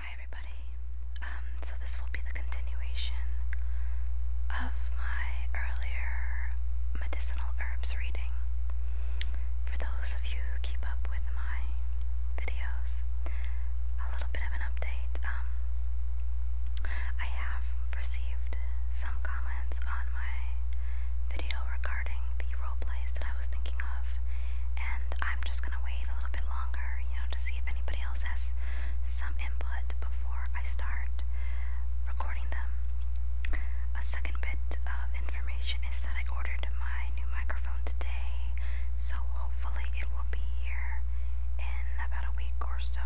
Hi everybody. Um, so this will be the continuation of my earlier medicinal herbs reading. For those of you who keep up with my videos, a little bit of an update. Um, I have received some comments on my video regarding the role plays that I was thinking of and I'm just gonna wait a little bit longer, you know, to see if anybody else has some input before I start recording them. A second bit of information is that I ordered my new microphone today, so hopefully it will be here in about a week or so.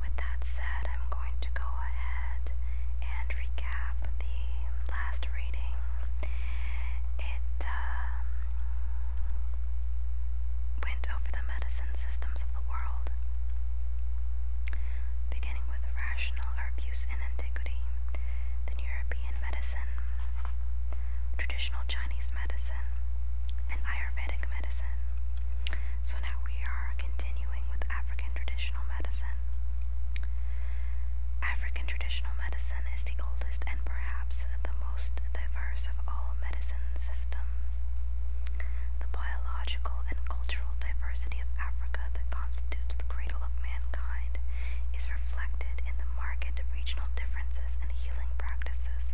With that said, I'm going to go ahead and recap the last it um, went over the medicine systems of the world, beginning with rational herb use in antiquity, then European medicine, traditional Chinese medicine, and Ayurvedic medicine. So now we are continuing with African traditional medicine. African traditional medicine is the oldest and perhaps the most diverse of all medicine systems. The biological and cultural diversity of Africa that constitutes the cradle of mankind is reflected in the marked regional differences in healing practices.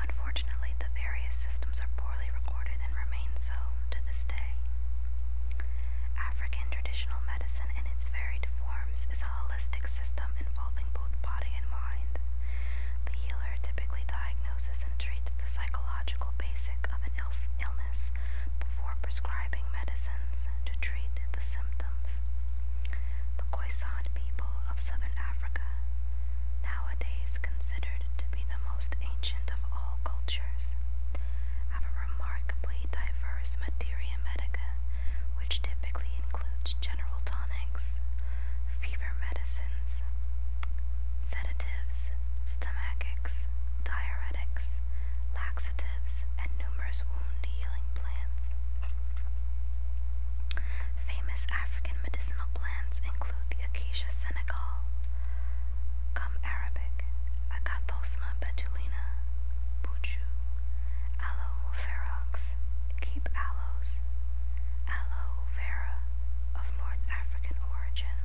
Unfortunately, the various systems are poorly recorded and remain so to this day. African traditional medicine in its varied forms is a holistic system involving both body and mind. The healer typically diagnoses and treats the psychological basic of an illness before prescribing medicines to treat the symptoms. The Khoisan people of southern Africa, nowadays considered to be the most ancient of all cultures, have a remarkably diverse materia medica, which typically includes general tonics, fever medicines, sedatives, stomachics, diuretics, laxatives, and numerous wound healing plants. Famous African medicinal plants include the Acacia senegal, Come Arabic, Agathosma betulina, buchu, aloe ferox, keep aloes, aloe vera of North African origin,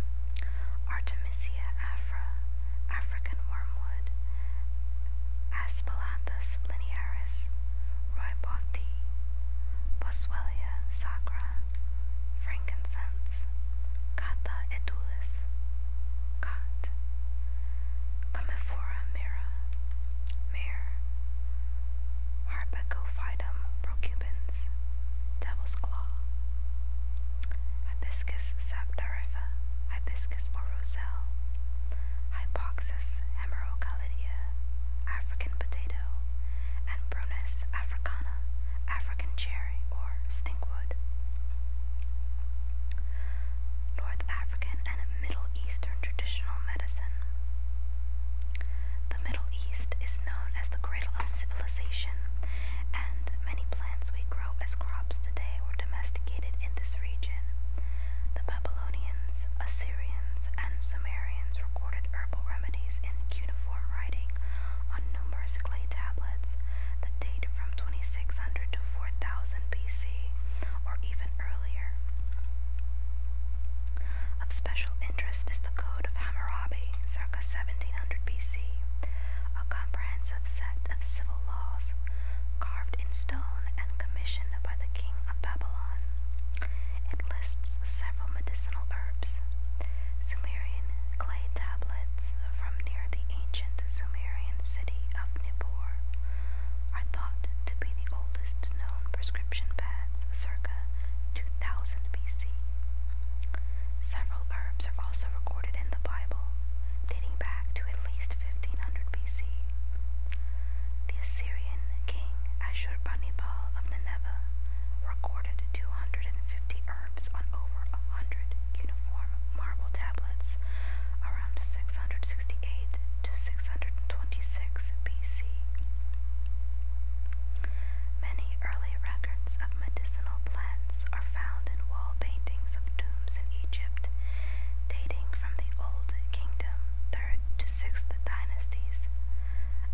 Artemisia afra, African wormwood, Aspalathus linearis, rooibos tea, Boswellia sacra, frankincense cats, cata edulis, cat, Comifora mira, mare, Harpagophytum procubens, devil's claw, Hibiscus sabdariffa, Hibiscus or roselle, Hypoxus hemerocalidia, African potato, and Brunus africana. African cherry, or stinkwood. North African and Middle Eastern traditional medicine. The Middle East is known as the cradle of civilization, and many plants we grow as crops today were domesticated in this region. The Babylonians, Assyrians, and Sumerians recorded herbal remedies in cuneiform on numerous clay tablets that date from 2600 to 4000 BC or even earlier. Of special interest is the Code of Hammurabi, circa 1700 BC, a comprehensive set of civil laws carved in stone and commissioned by the king of Babylon. It lists several medicinal herbs, Sumerian clay tablets, from near the ancient Sumerian city of Nippur are thought to be the oldest known prescription pads circa 2000 BC. Several herbs are also recorded in the Bible, dating back to at least 1500 BC. The Assyrian king Ashurbanipal of Nineveh recorded 250 herbs on over 100 uniform marble tablets around 668 to 626 BC. Many early records of medicinal plants are found in wall paintings of tombs in Egypt, dating from the Old Kingdom, 3rd to 6th dynasties,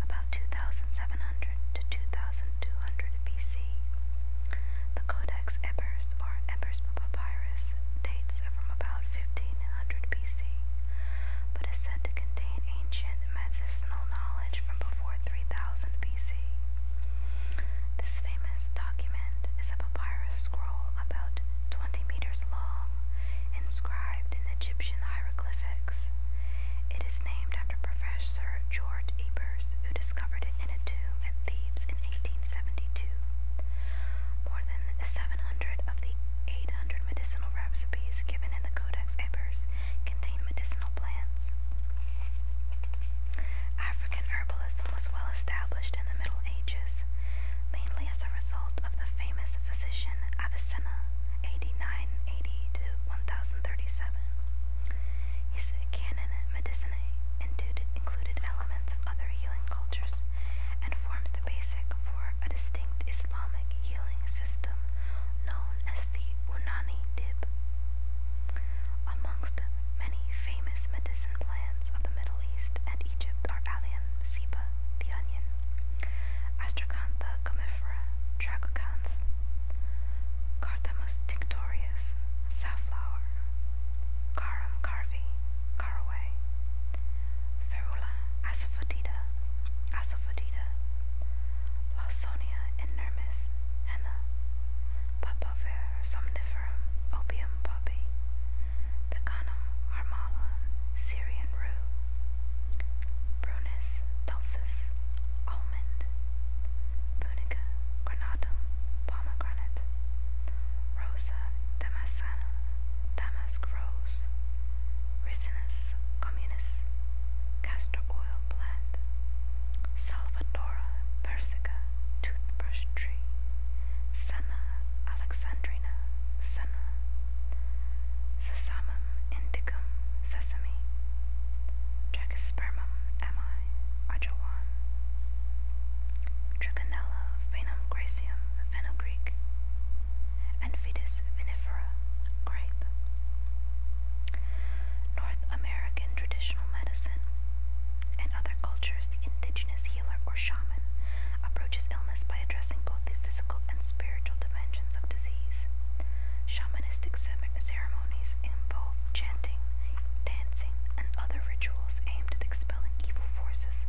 about 2700 to 2200 BC. The Codex Ebers or Ebers Papyrus dates from about 1500 BC, but is said to contain ancient medicinal knowledge from before 3000 BC. This famous document is a papyrus scroll about 20 meters long, inscribed in Egyptian hieroglyphics. It is named after Professor George E who discovered it in a tomb at Thebes in 1872. More than 700 of the 800 medicinal recipes given in the Codex Ebers contain medicinal plants. African herbalism was well established in the Middle Ages, mainly as a result of the famous physician Avicenna, 8980 to 1037. His canon medicinae included elements of other healing cultures and forms the basic for a distinct Islamic healing system known as the Unani Dib. Amongst many famous medicine plants of the Middle East and Egypt are Allium cepa, the onion, Astracanth, gomifera, Tragocanth, Cardamus tinctorius, safflower, Carum carvi, caraway, Ferula asafoetida, asafoetida, Lawsonia inermis, henna, Papaver somniferum, opium poppy, Pecanum harmala, Syrian rue, Brunus dulcis, almond, tunica granatum, pomegranate, rosa damascena, damask rose, ricinus communis, castor oil plant, salvadora persica, toothbrush tree, senna alexandrina, senna, sesamum indicum, sesame, Tracheospermum ammi, ajawan, Trichinella phenum gracium, fenugreek, vinifera, grape. North American traditional medicine and other cultures, the indigenous healer or shaman approaches illness by addressing both the physical and spiritual dimensions of disease. Shamanistic ceremonies involve chanting, dancing, and other rituals aimed at expelling evil forces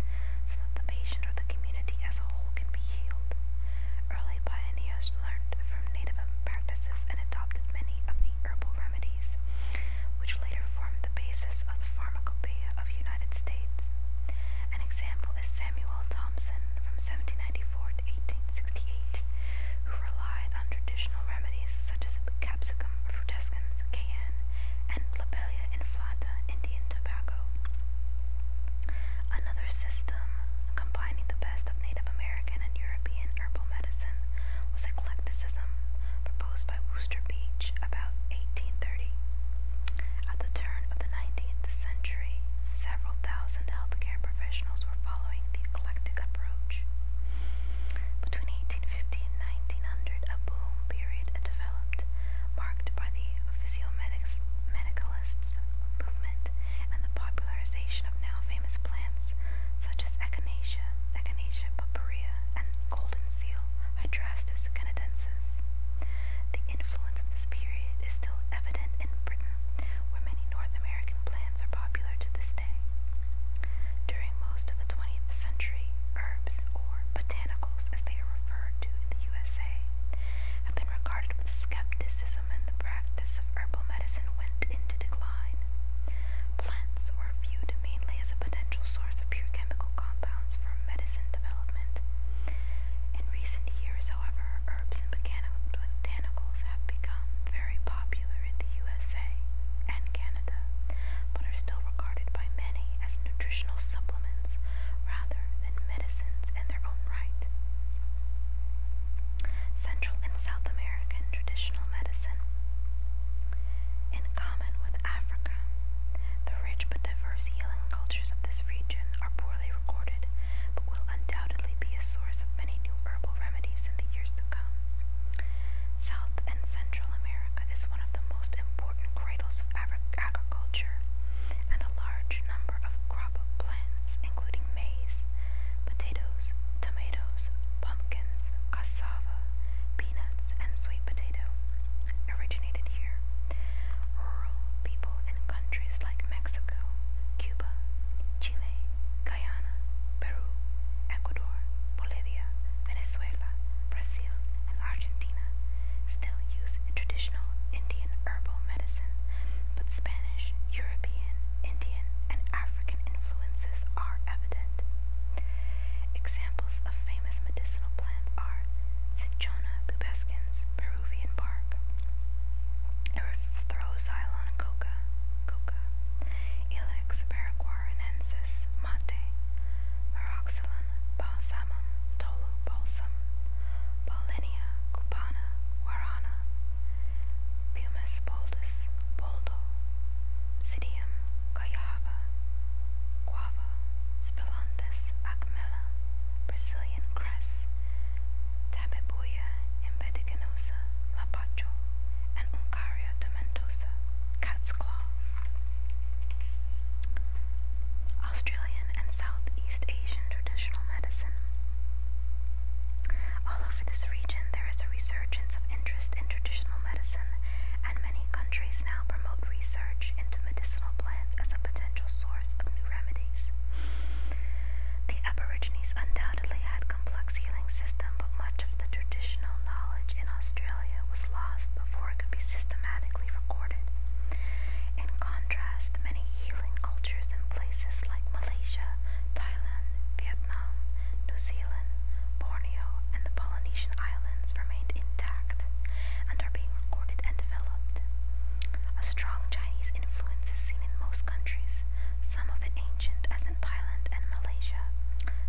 so that the patient or the community as a whole can be healed. Early pioneers learned from native practices and adopted many of the herbal remedies, which later formed the basis of the pharmacopoeia of United States. An example is Samuel Thompson from 1794 to 1868, who relied on traditional remedies such as capsicum, frutescens, cayenne, and lobelia inflata, Indian tobacco. Another system combining the best of Native American and European herbal medicine was eclecticism, proposed by Worcester Beach about 1830. At the turn of the 19th century, several thousand healthcare professionals were following the eclectic approach. Between 1850 and 1900, a boom period developed, marked by the physiomedicalists movement and the popularization of now famous plants such as Echinacea, Echinacea purpurea, and golden seal, Hydrastis canadensis. The influence of this period is still evident in Britain, where many North American plants are popular to this day. During most of the 20th century, herbs, or botanicals as they are referred to in the USA, have been regarded with skepticism and the practice of herbal medicine went into decline. Plants were viewed mainly as a potential source of pure chemical compounds for medicine development. In recent years, however, herbs and botanicals have become very popular in the USA and Canada, but are still regarded by many as nutritional supplements rather than medicines in their own right. Central and South American traditional medicine. In common with Africa, the rich but diverse healing cultures of this region are poorly recorded, but will undoubtedly be a source of many new herbal remedies in the years to come. South and Central America is one of the most important cradles of agriculture, and a large number of crop plants, including maize, potatoes, tomatoes, pumpkins, cassava, peanuts, and sweet potato, originated here. Rural people in countries like Mexico, Cuba, Chile, Guyana, Peru, Ecuador, Bolivia, Venezuela, Brazil, and Argentina still use traditional Indian herbal medicine, but Spanish, European, Indian, and African influences are evident. Examples of famous medicinal plants are cinchona pubescens, Peruvian bark, Throsylon coca, coca, Ilex paraguaranensis mate, Varoxylon balsamum, Tolu balsam, Paulinia cupana, Warana, Pumice boldus, Boldo, Sidium cayava, Guava, Spilanthus acmella, Brazilian cress, Tabebuia impedicanosa, Lapacho, and Uncaria tomentosa, cat's claw. Australian and Southeast Asian traditional medicine. All over this region, there is a resurgence of interest in traditional medicine, and many countries now promote research into medicinal plants as a potential source of new remedies. The Aborigines undoubtedly had complex healing system, but much of the traditional knowledge in Australia was lost before it could be systematically recorded. In contrast, many healing cultures in places like Malaysia, Thailand, Vietnam, New Zealand, Borneo, and the Polynesian Islands remained intact and are being recorded and developed. A strong Chinese influence is seen in most countries, some of it ancient as in Thailand and Malaysia,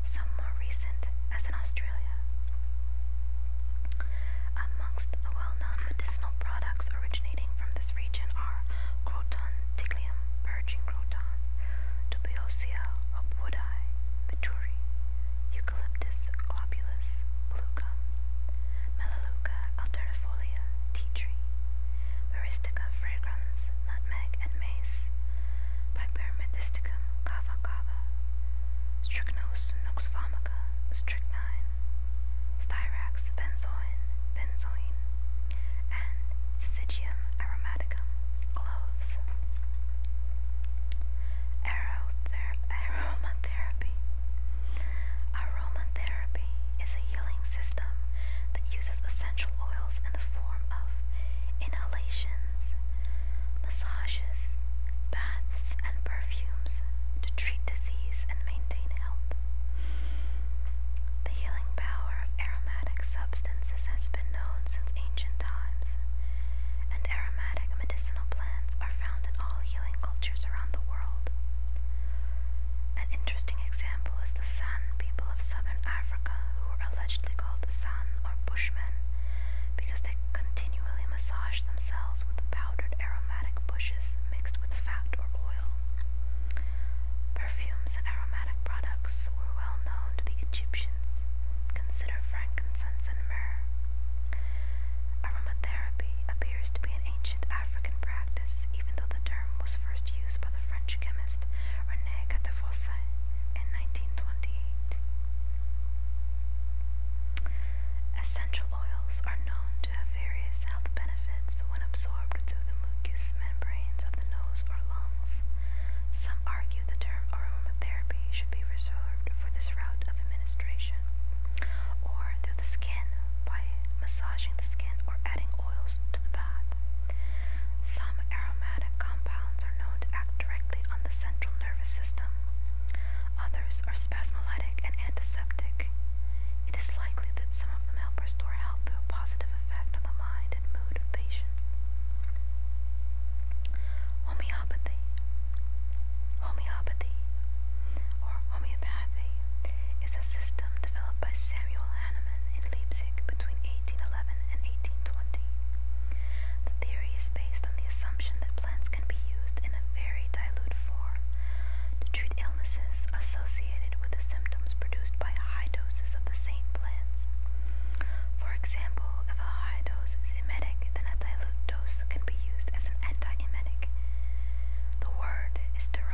some more recent as in Australia. Amongst the well-known medicinal products originating from this region are croton, tiglium, virgin croton, dubiosia, hopwoodi, vituri, eucalyptus globulus, blue melaleuca alternifolia, tea tree, baristica fragrans, nutmeg and mace, pipermethysticum kava kava, strychnos noxvomica, strychnine, styrax benzoin, benzoin, and syzygium aromaticum, cloves. Aromatherapy Aromatherapy is a healing system that uses essential oils in the form of inhalations, massages, baths, and perfumes to treat disease and maintain health. The healing power of aromatic substances has been known since ancient times, and aromatic medicinal plants are found in all healing cultures around the world interesting example is the San people of southern Africa, who were allegedly called San or Bushmen because they continually massage themselves with powdered aromatic bushes mixed with fat or oil. Perfumes and aromatic products were well known to the Egyptians. Consider frankincense and myrrh. Aromatherapy appears to be an ancient ancient African practice, even though the term was first used by the French chemist René Gattefossé in 1928. Essential oils are known to have various health benefits when absorbed through the mucous membranes of the nose or lungs. Some argue the term aromatherapy should be reserved for this route of administration, or the skin by massaging the skin or adding oils to the bath. Some aromatic compounds are known to act directly on the central nervous system. Others are spasmolytic and antiseptic. It is likely that some of them help restore health through a positive effect on the mind and mood of patients. Homeopathy. Homeopathy or homeopathy is a system developed by Samuel Hahnemann in Leipzig between 1811 and 1820. The theory is based on the assumption that plants can be used in a very dilute form to treat illnesses associated with the symptoms produced by high doses of the same plants. For example, if a high dose is emetic, then a dilute dose can be used as an anti-emetic. The word is derived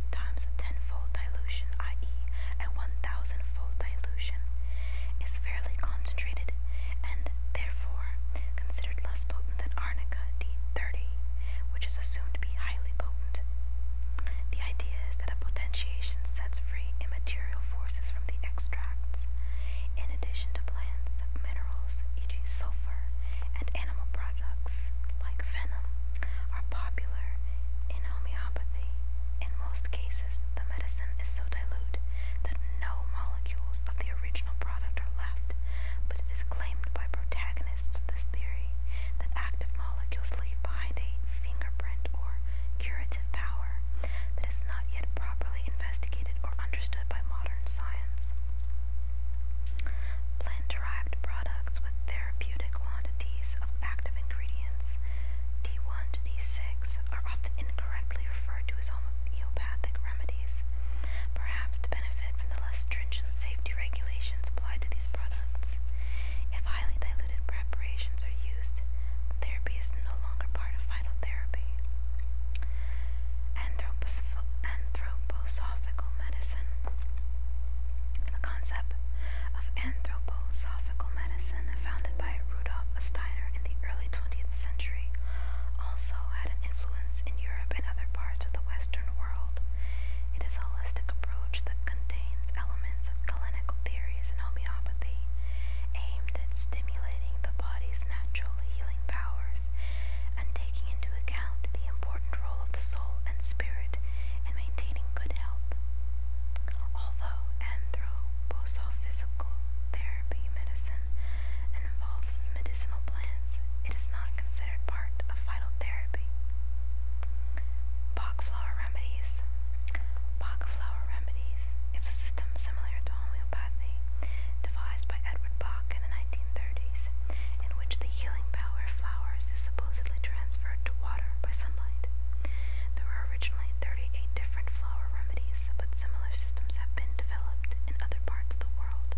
times a tenfold dilution, i.e., a one thousandfold dilution, is fairly concentrated and therefore considered less potent than arnica D30, which is assumed to be highly potent. The idea is that a potentiation sets free immaterial forces from the extracts. In addition to plants, minerals, e.g., sulfur, and animal products like venom are popular in homeopathy, in most cases, the medicine is so dilute that no molecules of the original product are left, but it is claimed by protagonists of this theory that active molecules leave behind a fingerprint or curative power that is not yet properly investigated or understood by modern science. Plant derived products with therapeutic quantities of active ingredients, D1 to D6, are often incorrectly referred to as homeopathic remedies, perhaps to benefit from the less stringent safety regulations applied to these products. If highly diluted preparations are used, therapy is no longer part of vital therapy. anthroposophical medicine. The concept of anthropos anthroposophical medicine founded by Rudolf Steiner in the early 20th century also had an influence in Europe and other parts of the Western world. It is a holistic approach that contains elements of clinical theories and homeopathy aimed at stimulating the body's natural healing powers and taking into account the important role of the soul and spirit spirit and maintaining good health. Although anthroposophysical therapy medicine involves medicinal plants, it is not considered part of vital Bach flower remedies. Bach flower remedies is a system similar to homeopathy devised by Edward Bach in the 1930s, in which the healing power flowers is supposedly transferred to water by sunlight. There were originally 38 different flower remedies, but similar systems have been developed in other parts of the world.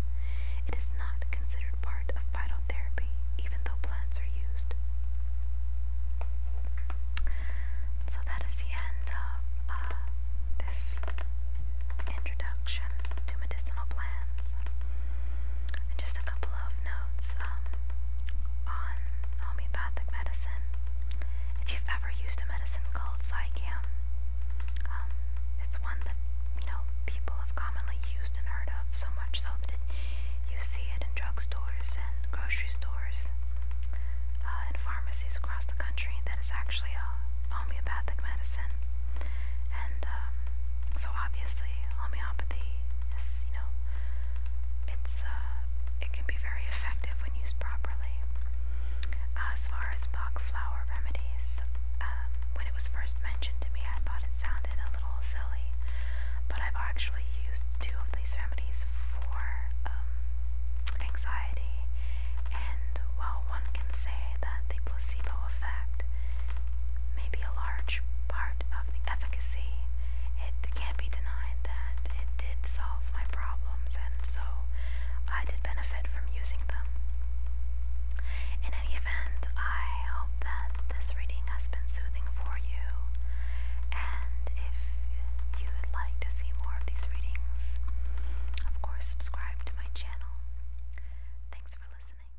It is not considered part of phytotherapy, even though plants are used. So that is the end of uh, this introduction to medicinal plants. And just a couple of notes um, on homeopathic medicine. If you've ever used a medicine called Zicam, um, it's one that you know people have commonly used and heard of so much so that it, you see it in drugstores and grocery stores uh, and pharmacies across the country. That is actually a homeopathic medicine, and um, so obviously homeopathy is you know it's uh, it can be very effective when used properly. Uh, as far as Bach flower remedies, um, when it was first mentioned to me, I thought it sounded a little silly, but I've actually used two of these remedies for um, anxiety, and while one can say that the placebo effect may be a large part of the efficacy, it can't be denied that it did solve my problems, and so I did benefit from using them. In any event, I hope that this reading has been soothing for you, and if you would like to see more of these readings, of course, subscribe to my channel. Thanks for listening.